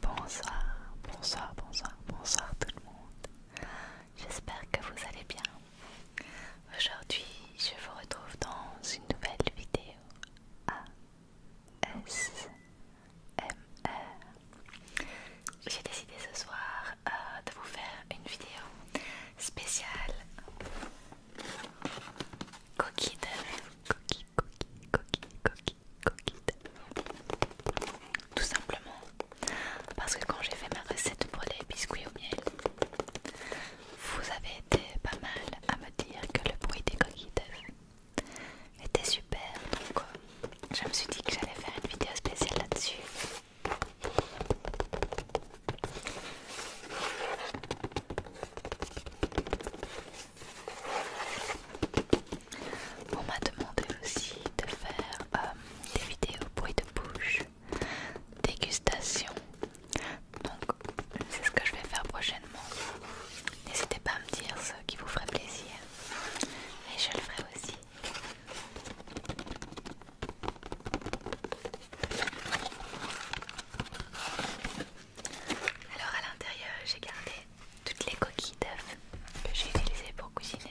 Bonsoir, bonsoir, bonsoir, bonsoir tout le monde. J'espère que vous allez bien. Aujourd'hui, je vous retrouve dans une nouvelle vidéo ASMR. J'ai décidé ce soir euh, de vous faire une vidéo spéciale coquille d'oeuf, coquille, coquille, coquille, coquille, Tout simplement parce que quand j'ai fait ma recette pour les biscuits au miel, vous avez été pas mal à me dire que le bruit des coquilles était super. Donc euh, je me suis dit que j'allais faire une vidéo spéciale là-dessus. On m'a demandé aussi de faire euh, des vidéos bruit de bouche, dégustation. Donc c'est ce que je vais faire prochainement. N'hésitez pas à me dire ce qui vous ferait plaisir. Et je le ferai aussi. Alors à l'intérieur j'ai gardé toutes les coquilles d'œufs que j'ai utilisées pour cuisiner.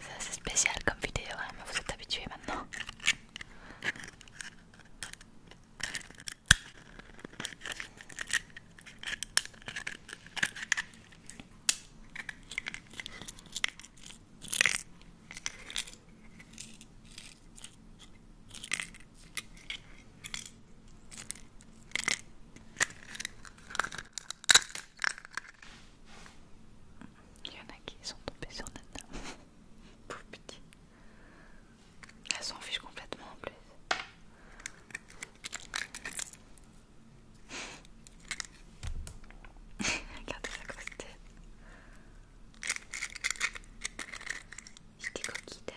C'est assez spécial comme vidéo, hein, vous êtes habitués maintenant. Il y en a qui sont tombés sur Nana. Pauvre petit. Elle s'en fiche complètement en plus. Regardez ça grosse tête. J'étais coquille d'âge.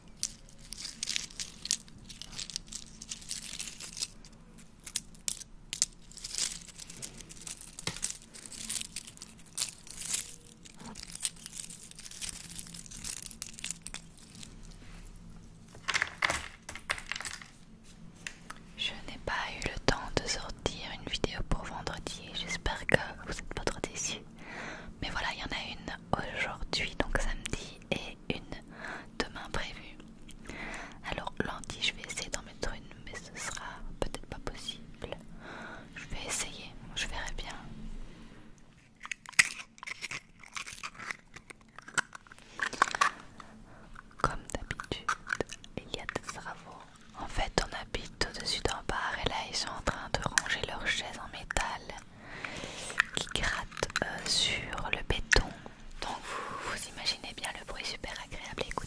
Je n'ai pas eu le temps de sortir une vidéo pour vendredi, j'espère que vous êtes pas trop déçus. Mais voilà, il y en a une aujourd'hui, donc samedi, et une demain prévue. Alors lundi je vais essayer d'en mettre une mais ce sera peut-être pas possible. Je vais essayer, je verrai bien. Comme d'habitude, il y a des travaux. En fait, on habite au-dessus d'un bar et là, ils sont en train de ranger leurs chaises en métal qui gratte euh, sur le béton. Donc vous, vous imaginez bien le bruit super agréable à écouter.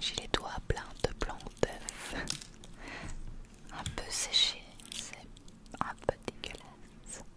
J'ai les doigts pleins de blanc d'œuf, un peu séché, c'est un peu dégueulasse.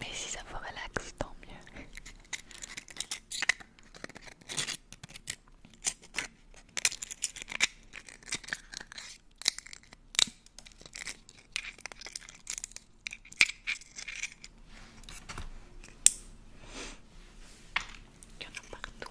Mais si ça vous relaxe, tant mieux. Il y en a partout.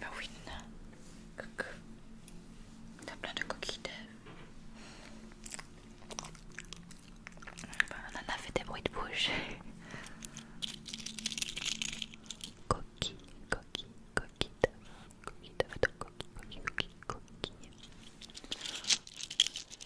Bah oui, non T'as plein de coquilles bah, a fait des bruits de bouche. coquille, coquille, coquille coquille, coquille, coquille, coquille, coquille.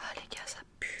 Ah les gars, ça pue.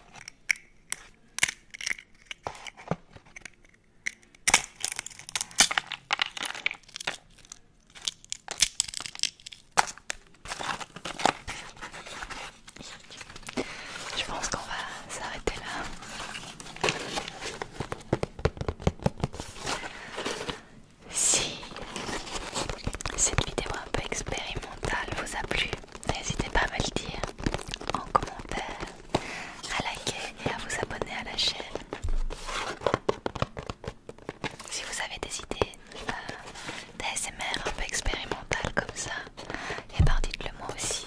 Je pense qu'on va s'arrêter là. Si cette vidéo un peu expérimentale vous a plu, n'hésitez pas à me le dire en commentaire, à liker et à vous abonner à la chaîne. Si vous avez des idées euh, d'ASMR un peu expérimentales comme ça, et eh bien dites-le moi aussi.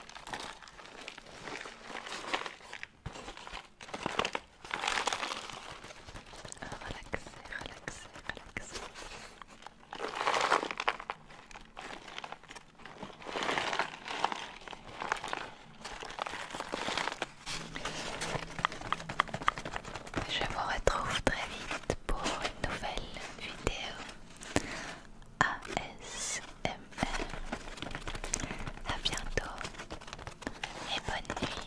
Relaxer, relaxer, relaxer. Je vous retrouve très vite pour une nouvelle vidéo. A bientôt et bonne nuit.